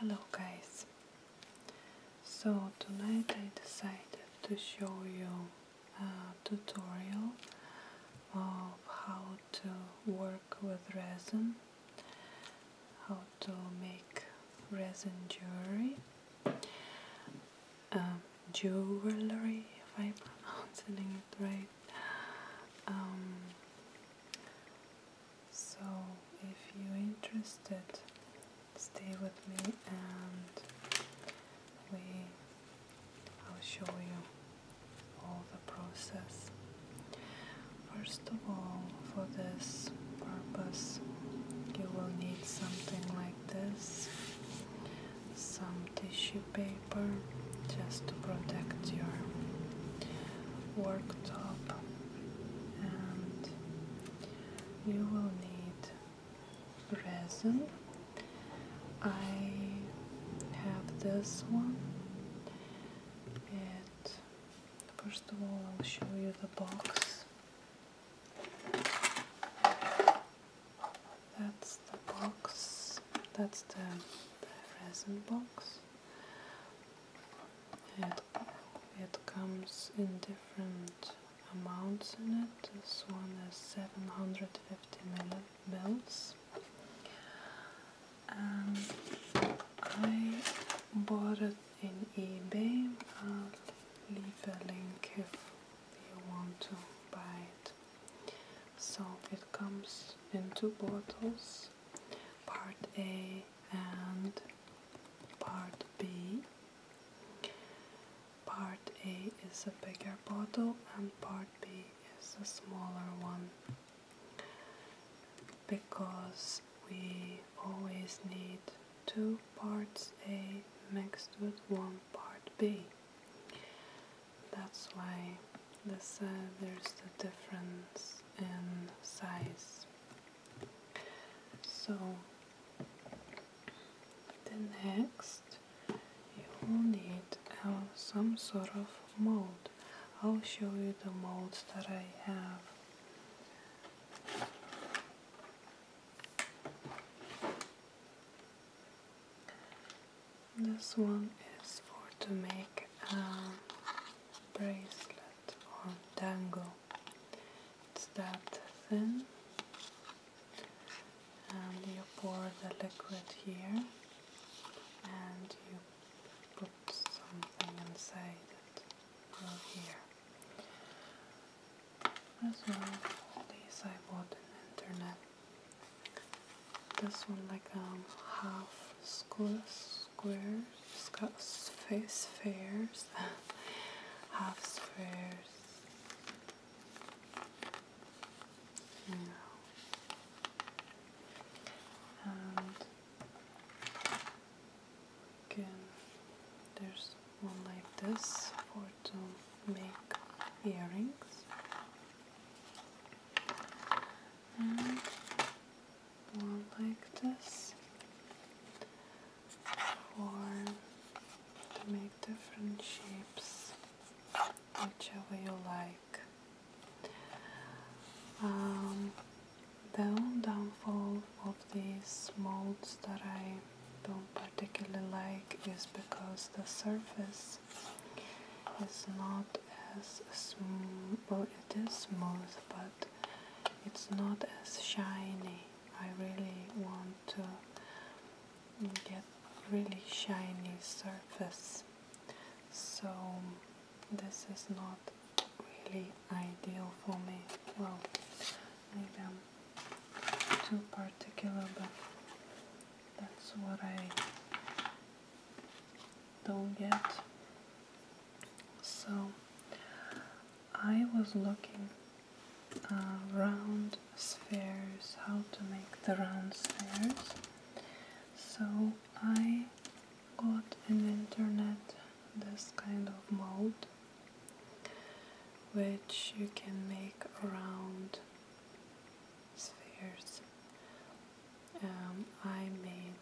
Hello guys, so tonight I decided to show you a tutorial of how to work with resin, how to make resin jewelry um, jewelry, if I'm pronouncing it right. Um, so, if you're interested, stay with me and we I'll show you all the process. First of all, for this purpose, you will need something like this some tissue paper just to protect your worktop and you will need resin I have this one And first of all I'll show you the box that's the box, that's the, resin box. It, it comes in different amounts in it. This one is 750 mils. I bought it in eBay. I'll leave a link if you want to buy it. So it comes in two bottles, part A and part B. Part A is a bigger bottle and part B is a smaller one because we always need two parts A mixed with one part B. That's why there's the difference in size. So the next you will need uh, some sort of mold. I'll show you the molds that I have. This one is for to make a bracelet or dangle. It's that thin, and you pour the liquid here, and you put something inside it from here. As well, these I bought on internet. This one like um half square squares spheres half spheres you know and again there's one like this for make earrings and one like this or to make different shapes whichever you like the um, only downfall of these molds that I don't particularly like is because the surface it's not as smooth, well, it is smooth, but it's not as shiny. I really want to get really shiny surface, so this is not really ideal for me. Well, maybe I'm too particular, but that's what I don't get. So I was looking uh, round spheres, how to make the round spheres. So I got in internet this kind of mold which you can make around spheres. Um, I made,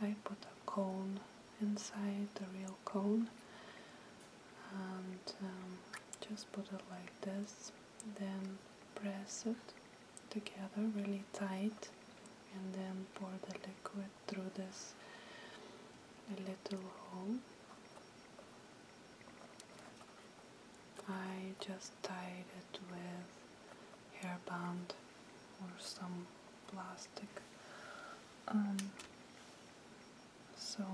I put a cone inside, the real cone, and um, just put it like this, then press it together really tight, and then pour the liquid through this little hole. I just tied it with hairband or some plastic. Um, so,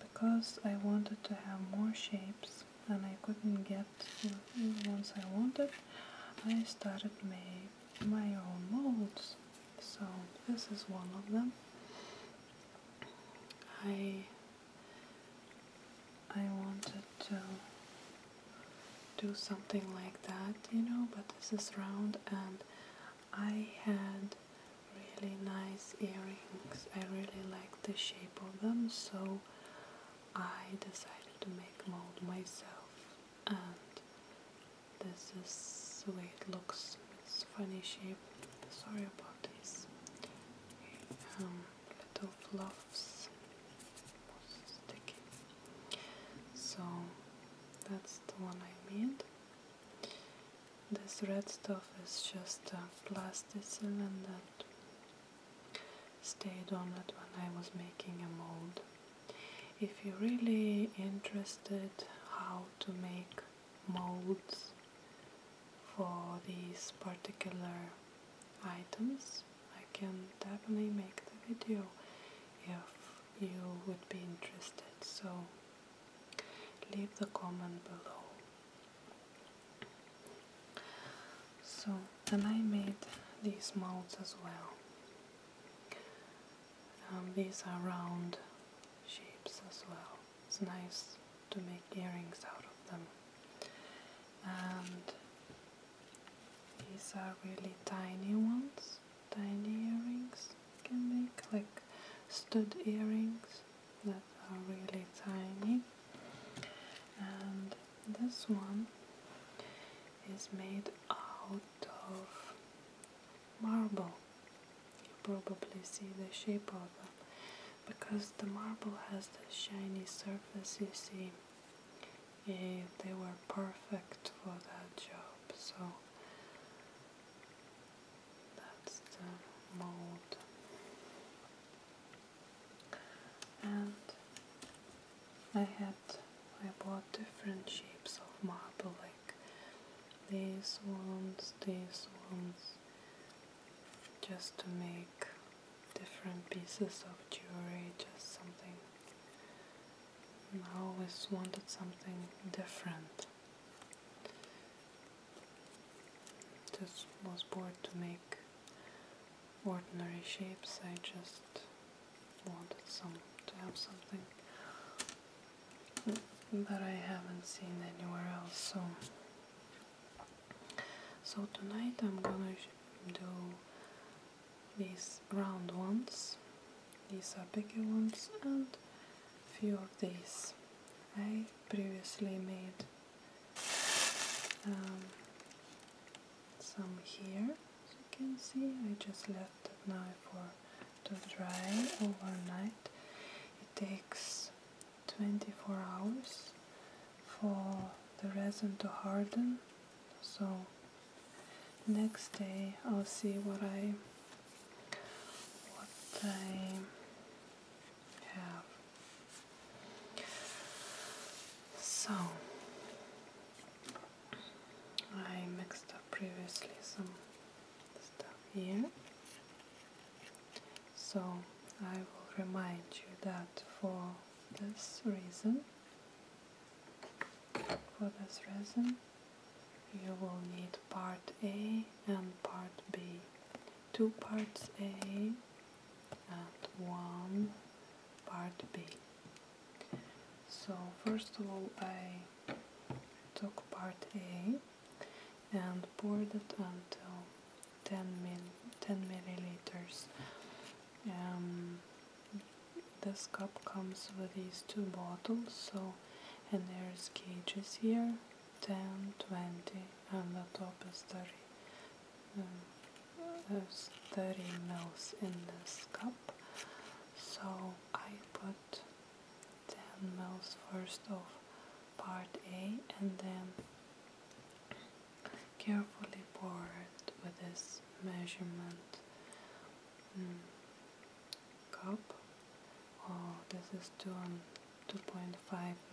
because I wanted to have more shapes and I couldn't get the ones I wanted, I started make my own molds. So this is one of them. I I wanted to do something like that, you know, but this is round and I had really nice earrings. I really liked the shape of them, so I decided to make mold myself. And this is the way it looks. It's funny shape. Sorry about this. Um, little fluffs sticky. So that's the one I made. This red stuff is just a plasticine and that stayed on it when I was making a mold. If you're really interested how to make molds for these particular items, I can definitely make the video if you would be interested. So leave the comment below. So then I made these molds as well. Um, these are round shapes as well. It's nice to make earrings out of them. And these are really tiny ones, tiny earrings. You can make like stud earrings that are really tiny. And this one is made out of marble. You probably see the shape of because the marble has the shiny surface you see yeah, they were perfect for that job so that's the mold and I had I bought different shapes of marble like these ones, these ones just to make different pieces of jewelry, just something. I always wanted something different. Just was bored to make ordinary shapes. I just wanted some to have something that I haven't seen anywhere else. So so tonight I'm gonna do these round ones, these are bigger ones, and few of these. I previously made um, some here, as you can see. I just left it now for to dry overnight. It takes 24 hours for the resin to harden so next day I'll see what I what I have so I mixed up previously some stuff here so I will remind you that for this reason, for this reason, you will need part A and part B. Two parts A and one part B. So first of all I took part A and poured it until 10, mil 10 milliliters. Um, this cup comes with these two bottles, so and there's cages here 10, 20, and the top is 30. there's um, 30 mils in this cup, so I put 10 mils first of part A and then carefully pour with this measurement mm, cup. Oh, this is 2.5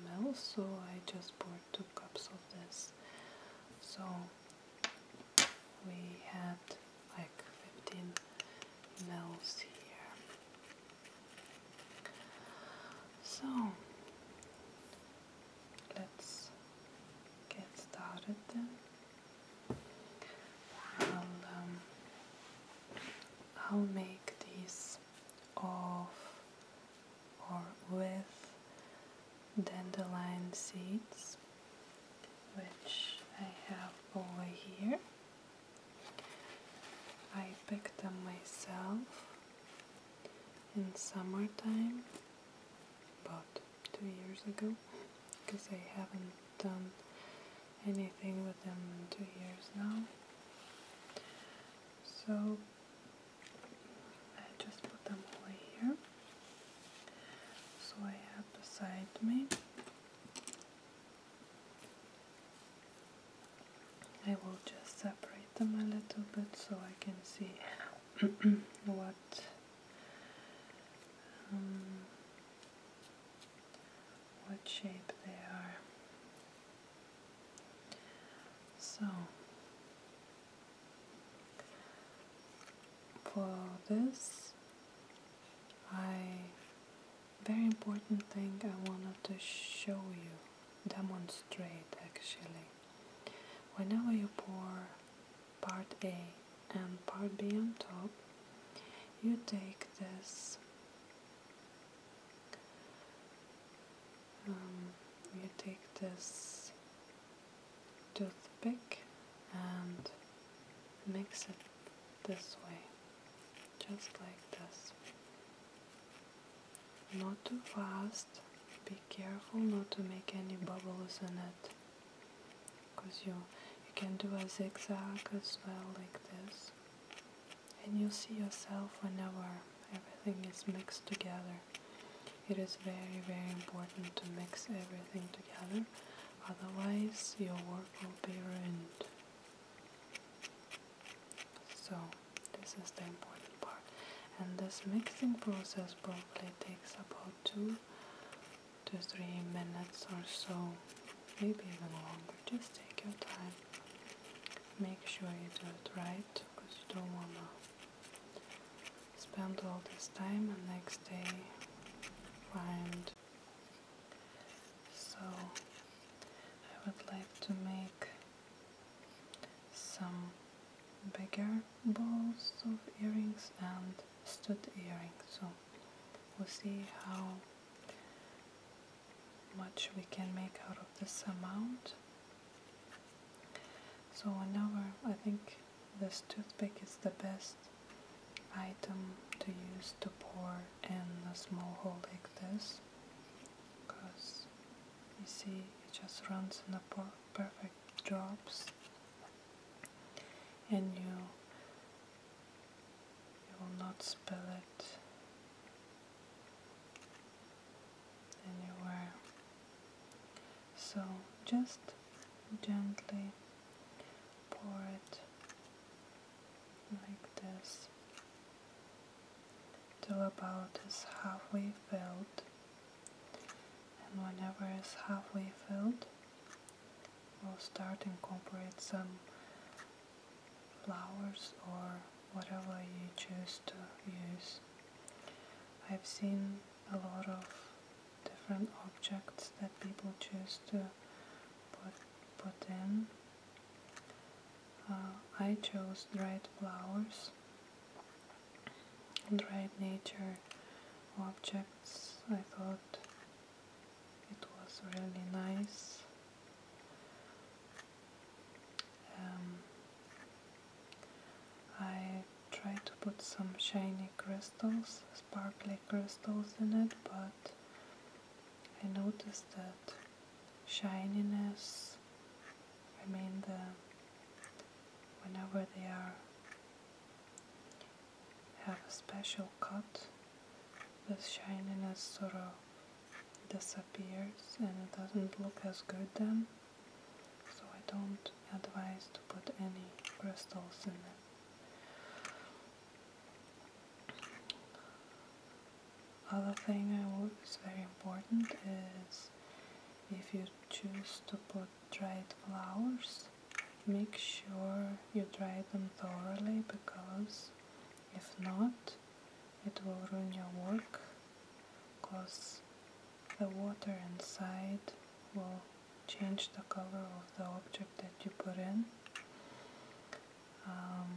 ml, so I just pour 2 cups of this. So we had like 15 ml here. So let's get started then. I'll, um, I'll make this of or with dandelion seeds, which I have over here. I picked them myself in summertime about two years ago because I haven't done anything with them in two years now. So I just put them away here. So I have beside me I will just separate them a little bit so I can see what um, what shape they are. So for this, I very important thing I wanted to show you demonstrate actually. Whenever you pour part A and part B on top, you take this um, you take this toothpick and mix it this way just like this not too fast. Be careful not to make any bubbles in it. Because you, you can do a zigzag as well like this. And you'll see yourself whenever everything is mixed together. It is very, very important to mix everything together. Otherwise, your work will be ruined. So, this is the important part. And this mixing process probably takes about two to three minutes or so, maybe even longer. Just take your time. Make sure you do it right because you don't want to spend all this time and next day find. So, I would like to make some bigger balls of earrings and stud earrings. So we'll see how much we can make out of this amount. So another, I think this toothpick is the best item to use to pour in a small hole like this because you see it just runs in a perfect drops and you will not spill it anywhere so just gently pour it like this till about is halfway filled and whenever it's halfway filled we'll start incorporate some flowers or whatever you choose to use. I've seen a lot of different objects that people choose to put, put in. Uh, I chose dried flowers and write nature objects. I thought it was really nice. Um, I tried to put some shiny crystals, sparkly crystals in it, but I noticed that shininess remain there whenever they are. Have a special cut. The shininess sort of disappears and it doesn't look as good then. So I don't advise to put any crystals in it. Other thing I would is very important is if you choose to put dried flowers, make sure you dry them thoroughly because if not, it will ruin your work because the water inside will change the color of the object that you put in. Um,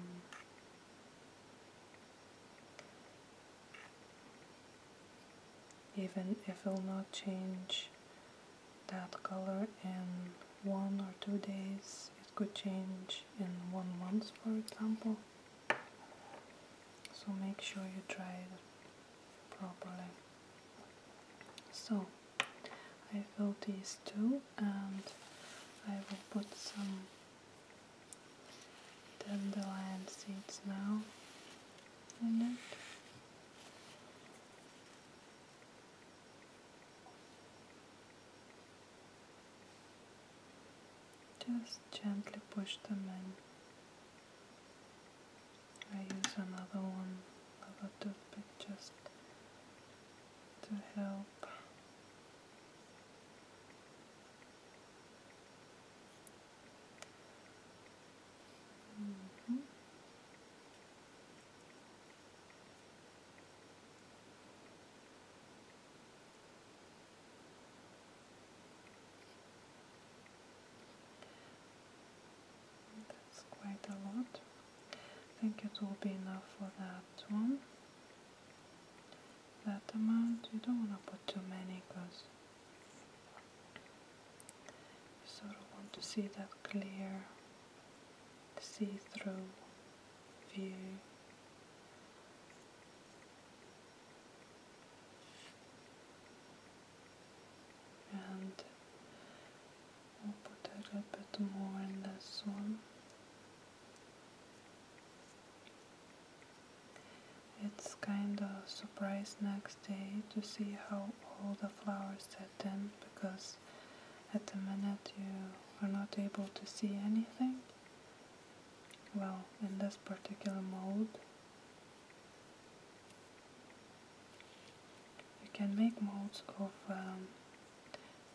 even if it will not change that color in one or two days it could change in one month for example so make sure you try it properly so I fill these two and I will put some dandelion seeds now in it. Just gently push them in. I use another one, another toothpick just to help Mm -hmm. That's quite a lot. I think it will be enough for that one that amount. You don't want to put too many because you sort of want to see that clear, see-through view. And we'll put a little bit more in this one. It's kinda surprised next day to see how all the flowers had been because at the minute you are not able to see anything. Well, in this particular mode, you can make modes of um,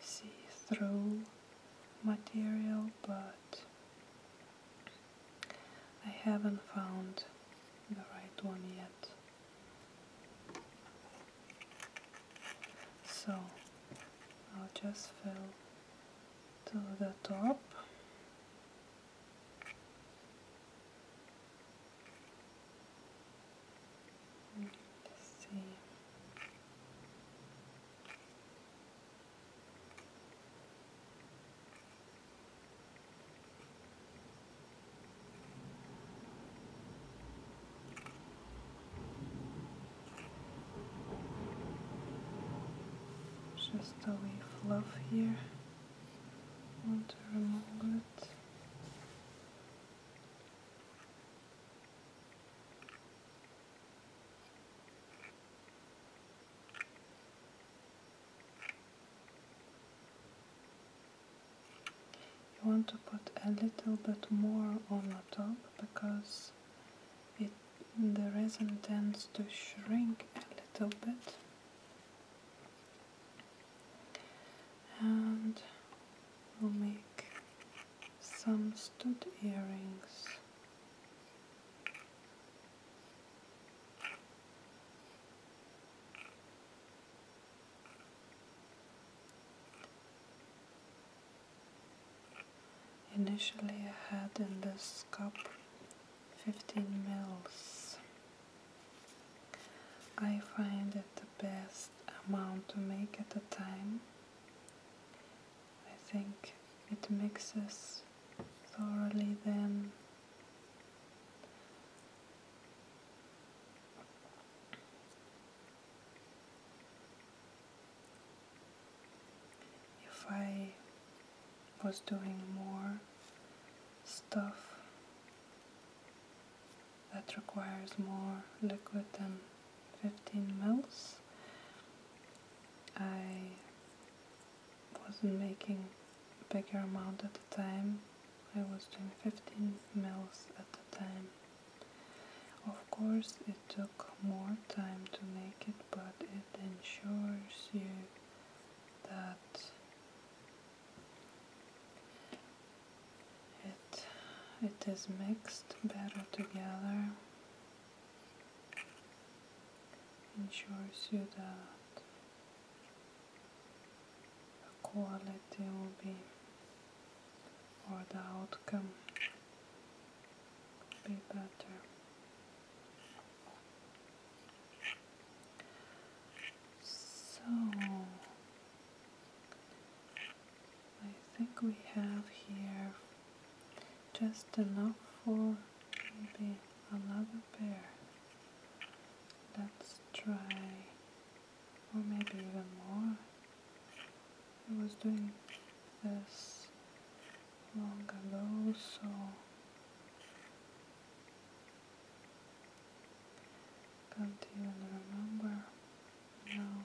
see-through material, but I haven't found the right one yet. So I'll just fill to the top. Let's see just a wee love here. Want to remove it. You want to put a little bit more on the top because it, the resin tends to shrink a little bit. And we'll make some stud earrings. Initially I had in this cup 15 mils. I find it the best amount to make at the time. I think it mixes thoroughly then if I was doing more stuff that requires more liquid than 15 mils, I wasn't making bigger amount at the time. I was doing 15 mils at the time. Of course it took more time to make it, but it ensures you that it, it is mixed better together. Ensures you that the quality will be or the outcome be better. So I think we have here just enough for maybe another pair. Let's try, or maybe even more. I was doing this long ago, so do not even remember now.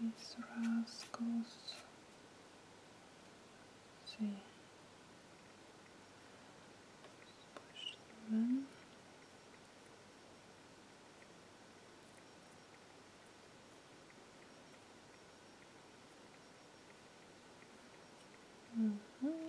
These rascals. see. push them in. -hmm.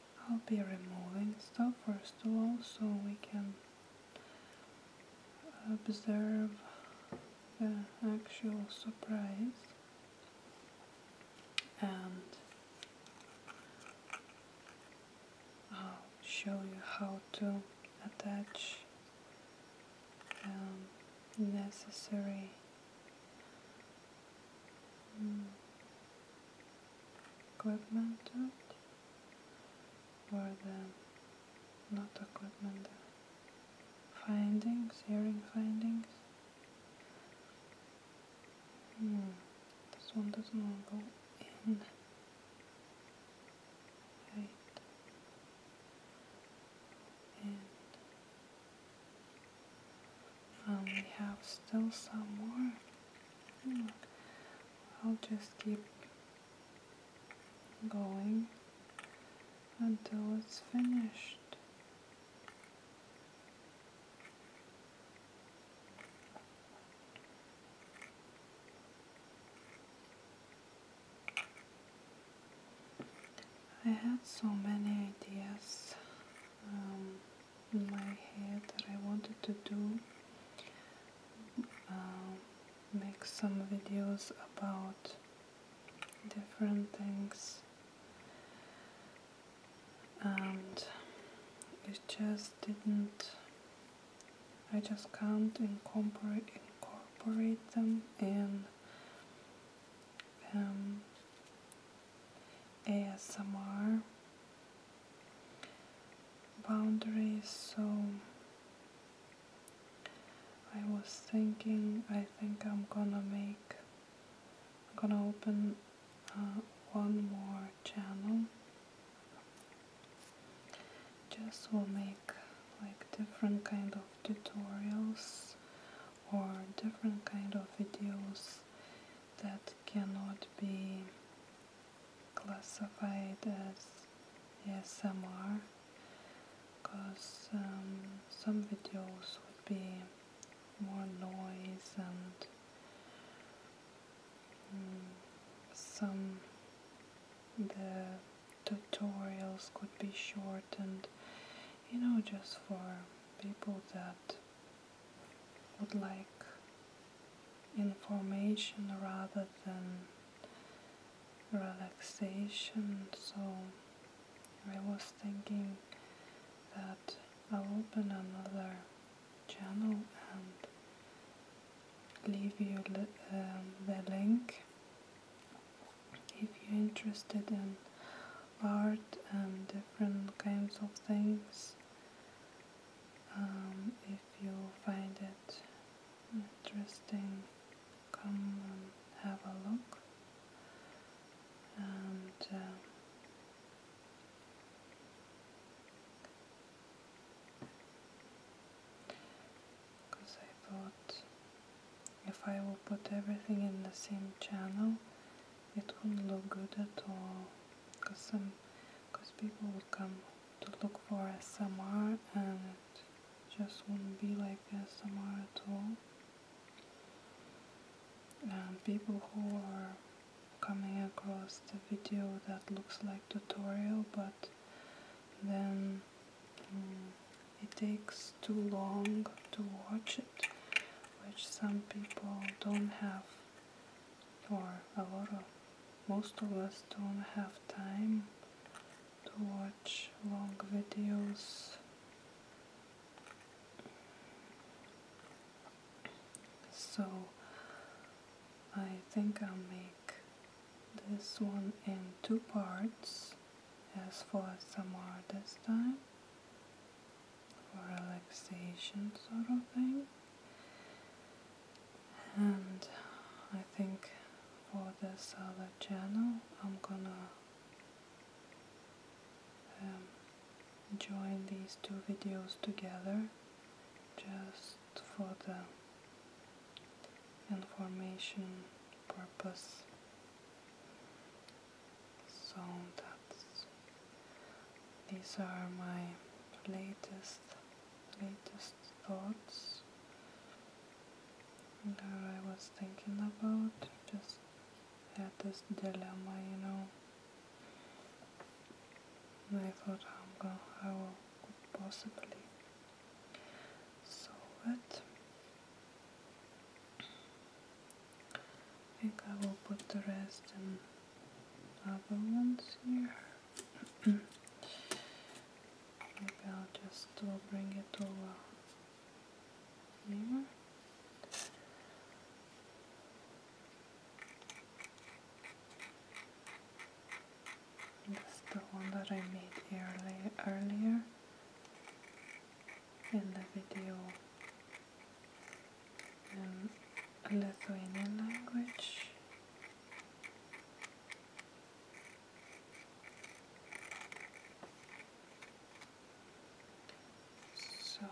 I'll be removing stuff first of all so we can observe the actual surprise and I'll show you how to attach um, necessary mm, equipment or the not equipment, the findings, hearing findings. Hmm, this one doesn't want to go in. Right. And um, we have still some more. Hmm. I'll just keep going until it's finished. I had so many ideas. Um, in my head that I wanted to do um, make some videos about different things and it just didn't I just can't incorporate incorporate them in um, ASMR boundaries so I was thinking I think I'm gonna make I'm gonna open uh, one more channel just will make like different kind of tutorials or different kind of videos that cannot be classified as ASMR because um, some videos would be more noise and mm, some the tutorials could be shortened you know just for people that would like information rather than relaxation so I was thinking that I'll open another channel and leave you the um, link if you're interested in art and different kinds of things um, if you find it interesting, come and have a look. because uh, I thought if I will put everything in the same channel, it wouldn't look good at all. Because some, because people would come to look for SMR and it just wouldn't be like SMR at all. And people who are coming across the video that looks like tutorial but then hmm, it takes too long to watch it which some people don't have or a lot of most of us don't have time to watch long videos so I think I'll make this one in two parts as for SMR this time for relaxation sort of thing and I think for this other channel I'm gonna um, join these two videos together just for the information purpose so that's these are my latest latest thoughts that I was thinking about. Just had this dilemma, you know. And I thought how I'm gonna I could possibly solve it. I think I will put the rest in other ones here. Maybe I'll just bring it over here. Uh, That's the one that I made early, earlier in the video in Lithuanian language. So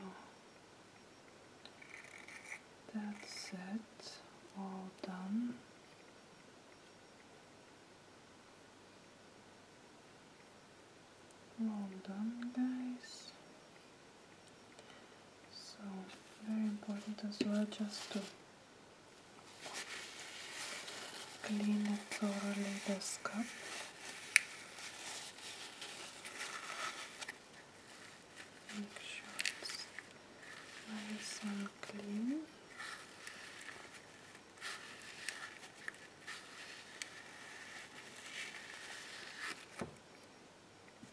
that's it, all done. All done, guys. So very important as well just to clean it thoroughly the scalp. Make sure it's nice and clean.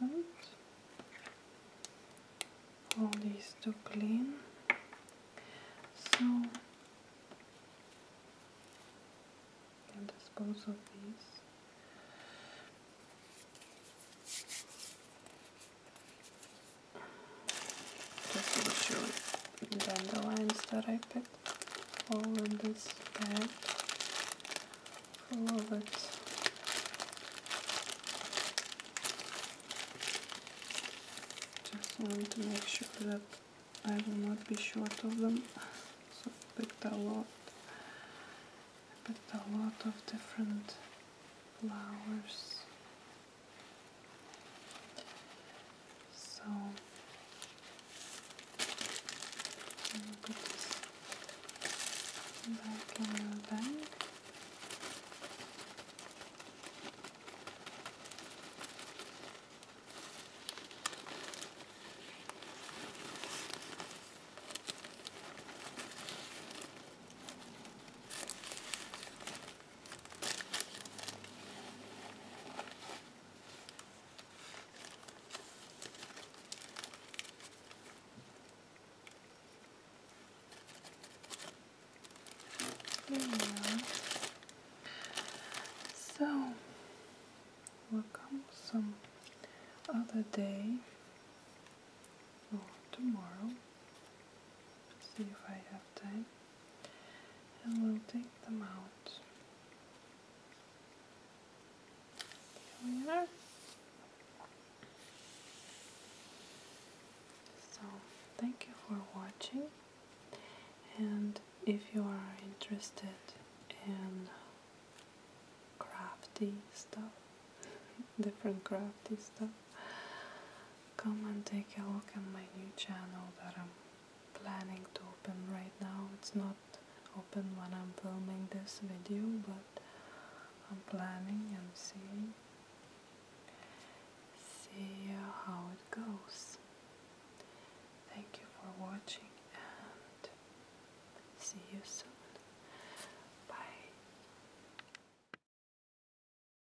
That's All these to clean. So dispose of these. Just to make sure the dandelions that I picked all in this bag full of it. Just want to make sure that I will not be short of them. So I picked a lot. I picked a lot of different flowers. So look at this back in your bag. So, we'll some other day or tomorrow. See if I have time and we'll take them out. Here we are. So, thank you for watching. And if you are interested in crafty stuff, different crafty stuff, come and take a look at my new channel that I'm planning to open right now. It's not open when I'm filming this video, but I'm planning and seeing see how it goes. Thank you for watching and see you soon. Bye.